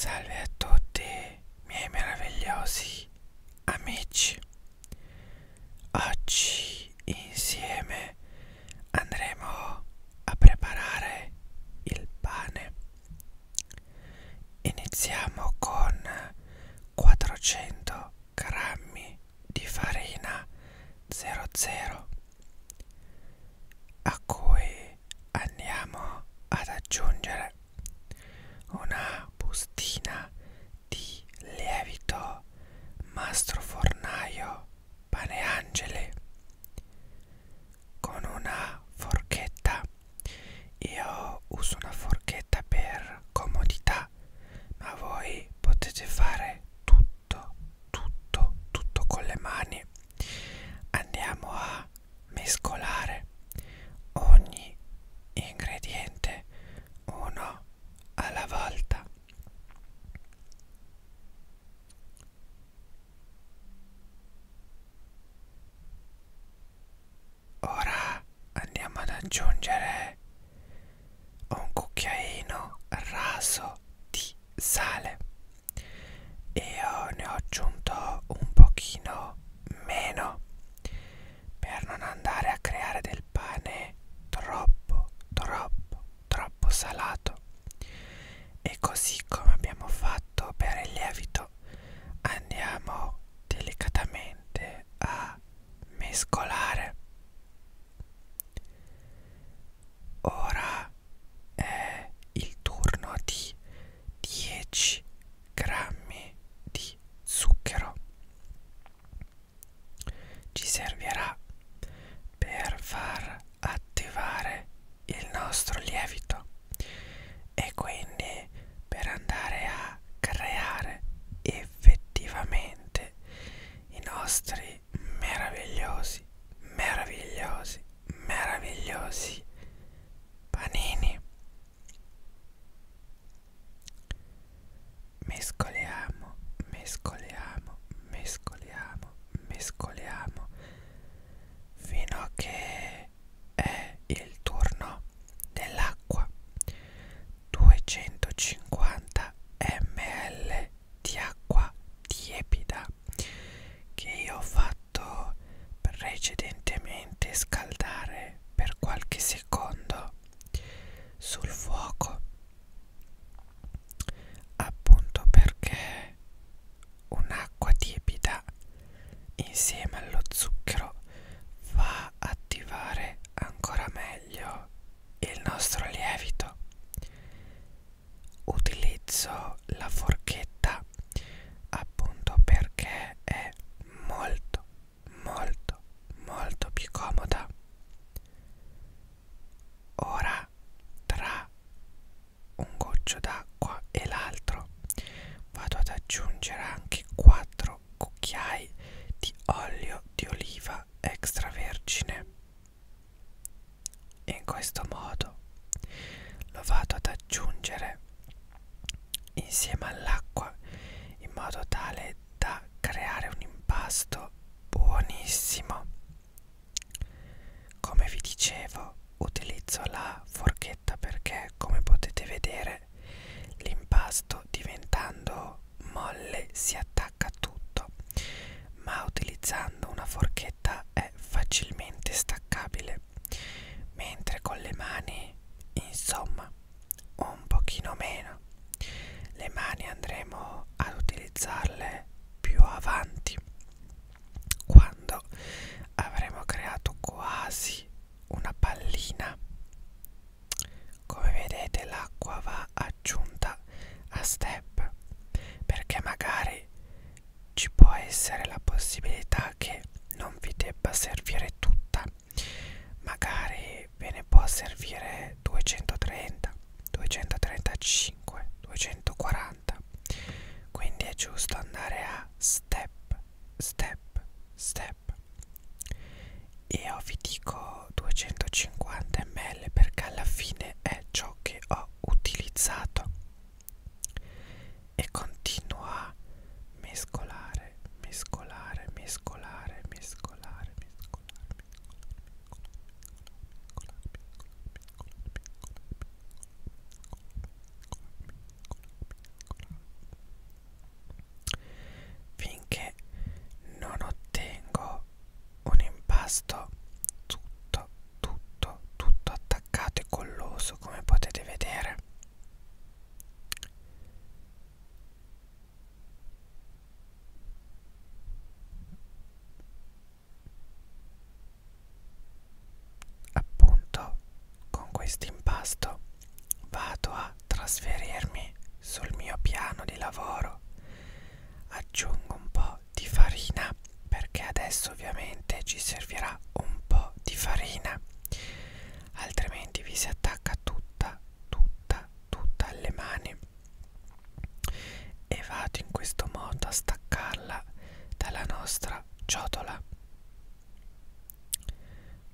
Salve a tutti, miei meravigliosi amici. Oggi insieme andremo a preparare il pane. Iniziamo con 400 grammi di farina 00, a cui andiamo ad aggiungere una bustina di lievito mastro fornaio paneangeli con una forchetta io uso una forchetta per comodità ma voi potete fare tutto tutto tutto con le mani andiamo a a mescolare ogni ingrediente uno alla volta ora andiamo ad aggiungere un cucchiaino raso di sale e eh, ne ho aggiunto un pochino meno per non andare a creare del pane troppo troppo troppo salato e così come abbiamo fatto per il lievito andiamo delicatamente a mescolare ora è il turno di 10 grammi di zucchero ci servirà per far attivare il nostro lievito e quindi per andare a creare effettivamente i nostri meravigliosi meravigliosi meravigliosi panini mescoliamo mescoliamo mescoliamo mescoliamo fino a che è il turno dell'acqua 250 ml di acqua tiepida che io ho fatto precedentemente scaldare per qualche secondo sul fuoco appunto perché un'acqua tiepida insieme allo zucchero fa attivare ancora meglio il nostro lievito utilizzo la forchetta appunto perché è molto molto molto più comoda ora tra un goccio d'acqua e l'altro vado ad aggiungere anche 4 cucchiai di olio di oliva extravergine in questo modo lo vado ad aggiungere insieme all'acqua in modo tale da creare un impasto buonissimo. Come vi dicevo utilizzo la forchetta perché come potete vedere l'impasto diventando molle si attacca tutto ma utilizzando una forchetta bacchetta è facilmente staccabile mentre con le mani insomma un pochino meno le mani andremo ad utilizzarle più avanti quando avremo creato quasi una pallina come vedete l'acqua va a aggiunta a step perché magari ci può essere la possibilità che non vi debba servire tutta magari ve ne può servire 230 235 240 quindi è giusto andare a step step step e io vi dico 250 ml perché alla fine è ciò che ho utilizzato e continuo a mescolare mescolare mescolare mescolare mescolare mescolare mescolare mescolare finché non ottengo un impasto tutto tutto tutto attaccato e colloso come potete vedere appunto con questo impasto vado a trasferirmi sul mio piano di lavoro aggiungo un po' di farina perché adesso ovviamente ci servirà un po' di farina altrimenti vi si attacca tutta tutta tutta alle mani e vado in questo modo a staccarla dalla nostra ciotola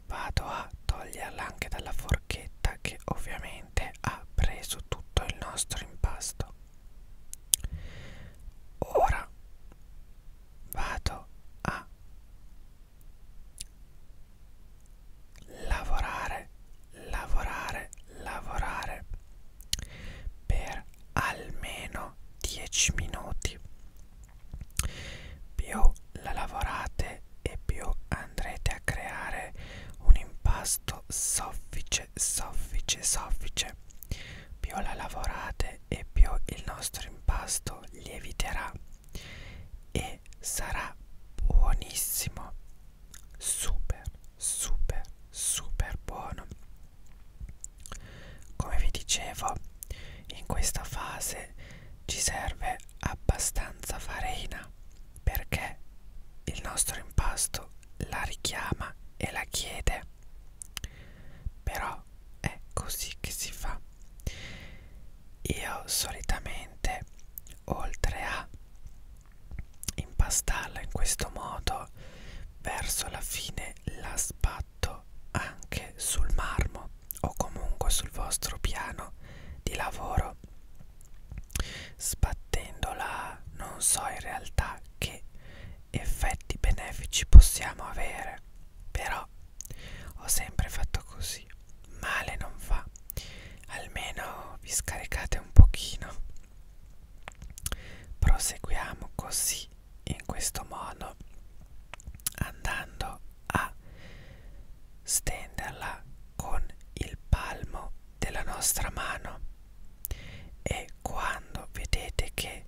vado a toglierla anche dalla forma porchetta che ovviamente ha preso tutto il nostro impasto ora vado a lavorare lavorare lavorare per almeno 10 minuti più la lavorate e più andrete a creare un impasto impasto soffice soffice soffice più la lavorate e più il nostro impasto lieviterà e sarà buonissimo super super super buono come vi dicevo in questa fase ci serve abbastanza farina perché il nostro impasto la richiama e la chiede. Però è così che si fa. Io solitamente, oltre a impastarla in questo modo, verso la fine la sbatto anche sul marmo o comunque sul vostro piano di lavoro Sbattendola non so in realtà che effetti benefici possiamo avere, però ho sempre fatto così, male non fa, almeno vi scaricate un pochino. Proseguiamo così, in questo modo, andando a stenderla con il palmo della nostra mano e quando vedete che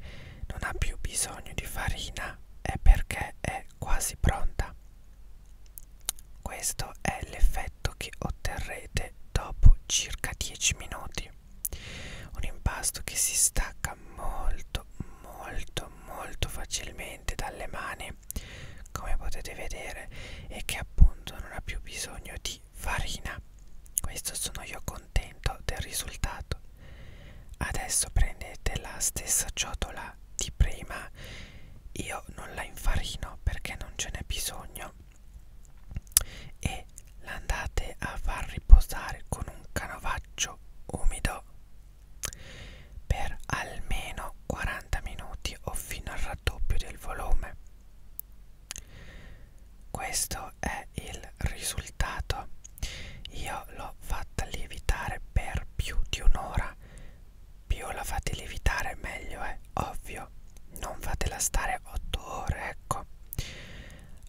non ha più bisogno di farina è perché è quasi pronta. Questo è l'effetto che otterrete dopo circa 10 minuti. Un impasto che si stacca molto molto molto facilmente dalle mani come potete vedere e che appunto non ha più bisogno di farina questo sono io contento del risultato adesso prendete la stessa ciotola di prima io non la infarino perché non ce n'è bisogno e la andate a far riposare con un canovaccio umido per almeno 40 minuti o fino al raddoppio del volume. Questo è il risultato. Io l'ho fatta lievitare per più di un'ora. Più la fate lievitare meglio è, ovvio. Non fatela stare 8 ore, ecco.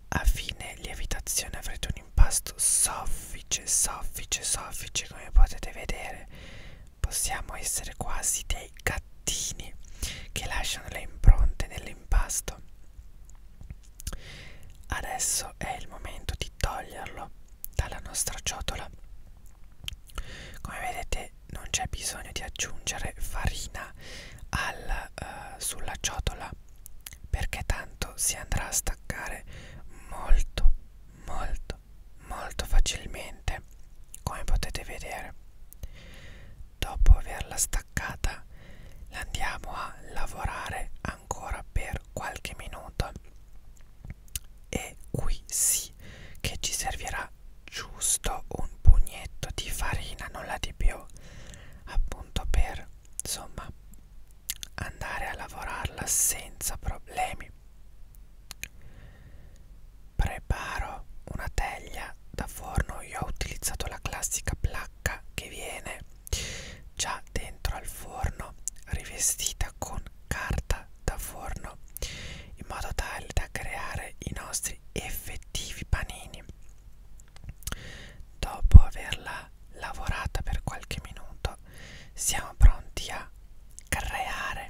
A fine lievitazione avrete un impasto soffice, soffice, soffice come potete vedere possiamo essere quasi dei gattini che lasciano le impronte nell'impasto. Adesso è il momento di toglierlo dalla nostra ciotola. Come vedete non c'è bisogno di aggiungere farina al, uh, sulla ciotola perché tanto si andrà a staccare molto molto molto facilmente come potete vedere dopo averla staccata la andiamo a lavorare ancora per qualche minuto e qui sì che ci servirà giusto un pugnetto di farina nulla di più appunto per insomma andare a lavorarla senza problemi. Preparo una teglia da forno, io ho utilizzato la classica placca che viene già dentro al forno rivestita con carta da forno in modo tale da creare i nostri effettivi panini. Dopo averla lavorata per qualche minuto siamo pronti a creare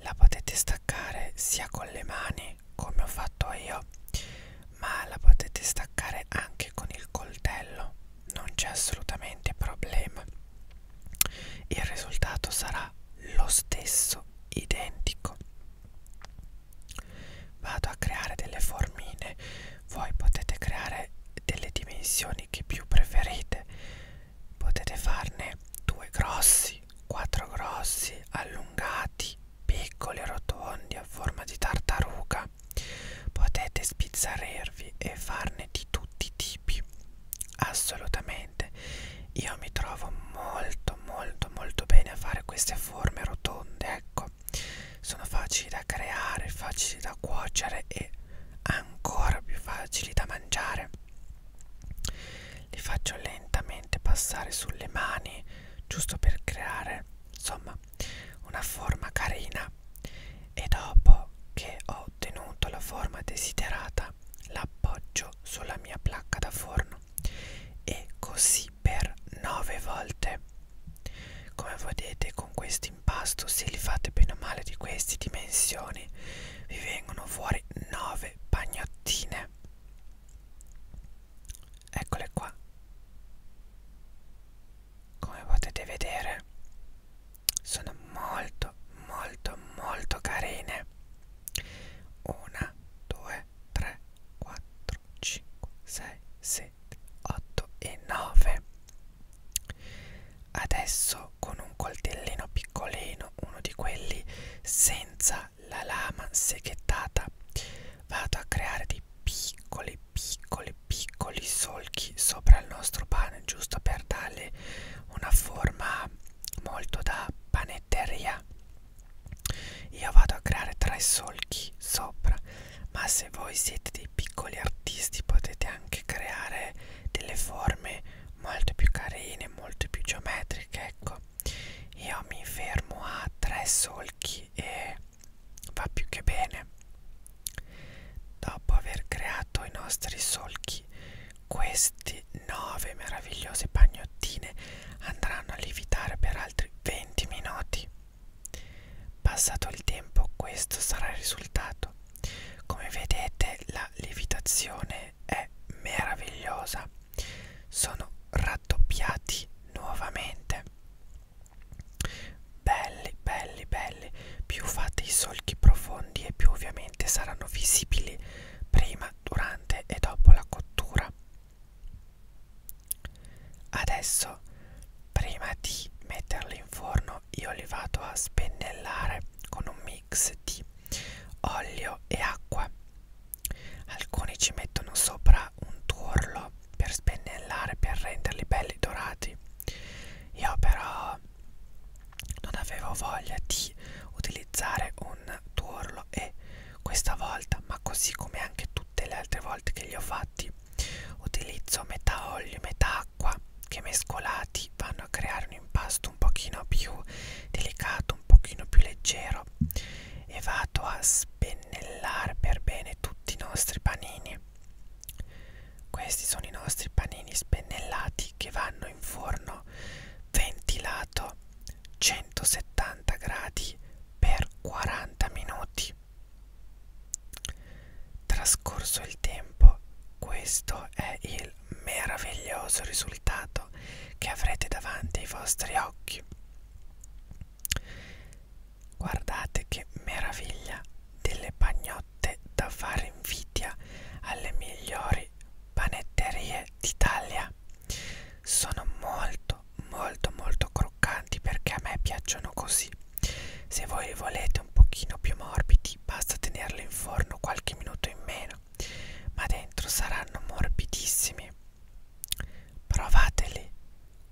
la potete staccare sia con le mani come ho fatto io ma la potete staccare anche con il coltello non c'è assolutamente problema il risultato sarà lo stesso identico vado a creare delle formine voi potete creare delle dimensioni quelli che più preferite potete farne due grossi quattro grossi allungati piccoli rotondi a forma di tartaruga potete spizzarervi e farne di tutti i tipi assolutamente io mi trovo molto molto molto bene a fare queste forme rotonde ecco sono facili da creare, facili da cuocere e ancora più facili da mangiare. Li faccio lentamente passare sulle mani giusto per creare insomma una forma carina e dopo che ho ottenuto la forma desiderata l'appoggio sulla mia placca da forno e così per 9 volte come vedete con questi dell'impasto se li fate bene o male di queste dimensioni vi vengono fuori 9 pagnottine eccole qua come potete vedere sono molto molto molto carine una 2 3 4 5 6 7 8 e 9 adesso con un coltellino piccolino uno di quelli senza la lama seghettata vado a creare dei piccoli piccoli piccoli solchi sopra il nostro pane giusto per darle una forma molto da panetteria io vado a creare tre solchi sopra ma se voi siete dei piccoli artisti potete anche creare delle forme molto più carine, molto più geometriche, ecco. Io mi fermo a tre solchi e va più che bene. Dopo aver creato i nostri solchi, queste nove meravigliose pagnottine andranno a lievitare per altri 20 minuti. Passato il tempo questo sarà il risultato. Come vedete la lievitazione è meravigliosa. Sono raddoppiati nuovamente. Belli, belli, belli. Più fate i solchi profondi e più ovviamente saranno visibili prima, durante e dopo la cottura. Adesso, prima di metterli in forno, io li vado a spennellare con un mix di olio e acqua. Alcuni ci mettono sopra un tuorlo per spennellare, per renderli belli dorati. Io però non avevo voglia di utilizzare un tuorlo e questa volta, ma così come anche tutte le altre volte che li ho fatti, utilizzo metà olio e metà acqua che mescolati vanno a creare un impasto un pochino più delicato un pochino più leggero e vado a spennellare per bene tutti i nostri panini questi sono i nostri panini spennellati che vanno in forno ventilato 170 gradi per 40 minuti Trascorso il tempo, questo è il meraviglioso risultato che avrete davanti ai vostri occhi. Guardate che meraviglia delle bagnotte da fare invidia alle migliori panetterie d'Italia. Sono molto molto molto croccanti perché a me piacciono così se voi li volete un pochino più morbidi basta tenerli in forno qualche minuto in meno ma dentro saranno morbidissimi provateli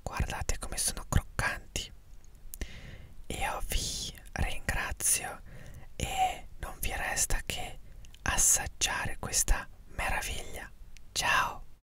guardate come sono croccanti io vi ringrazio e non vi resta che assaggiare questa meraviglia ciao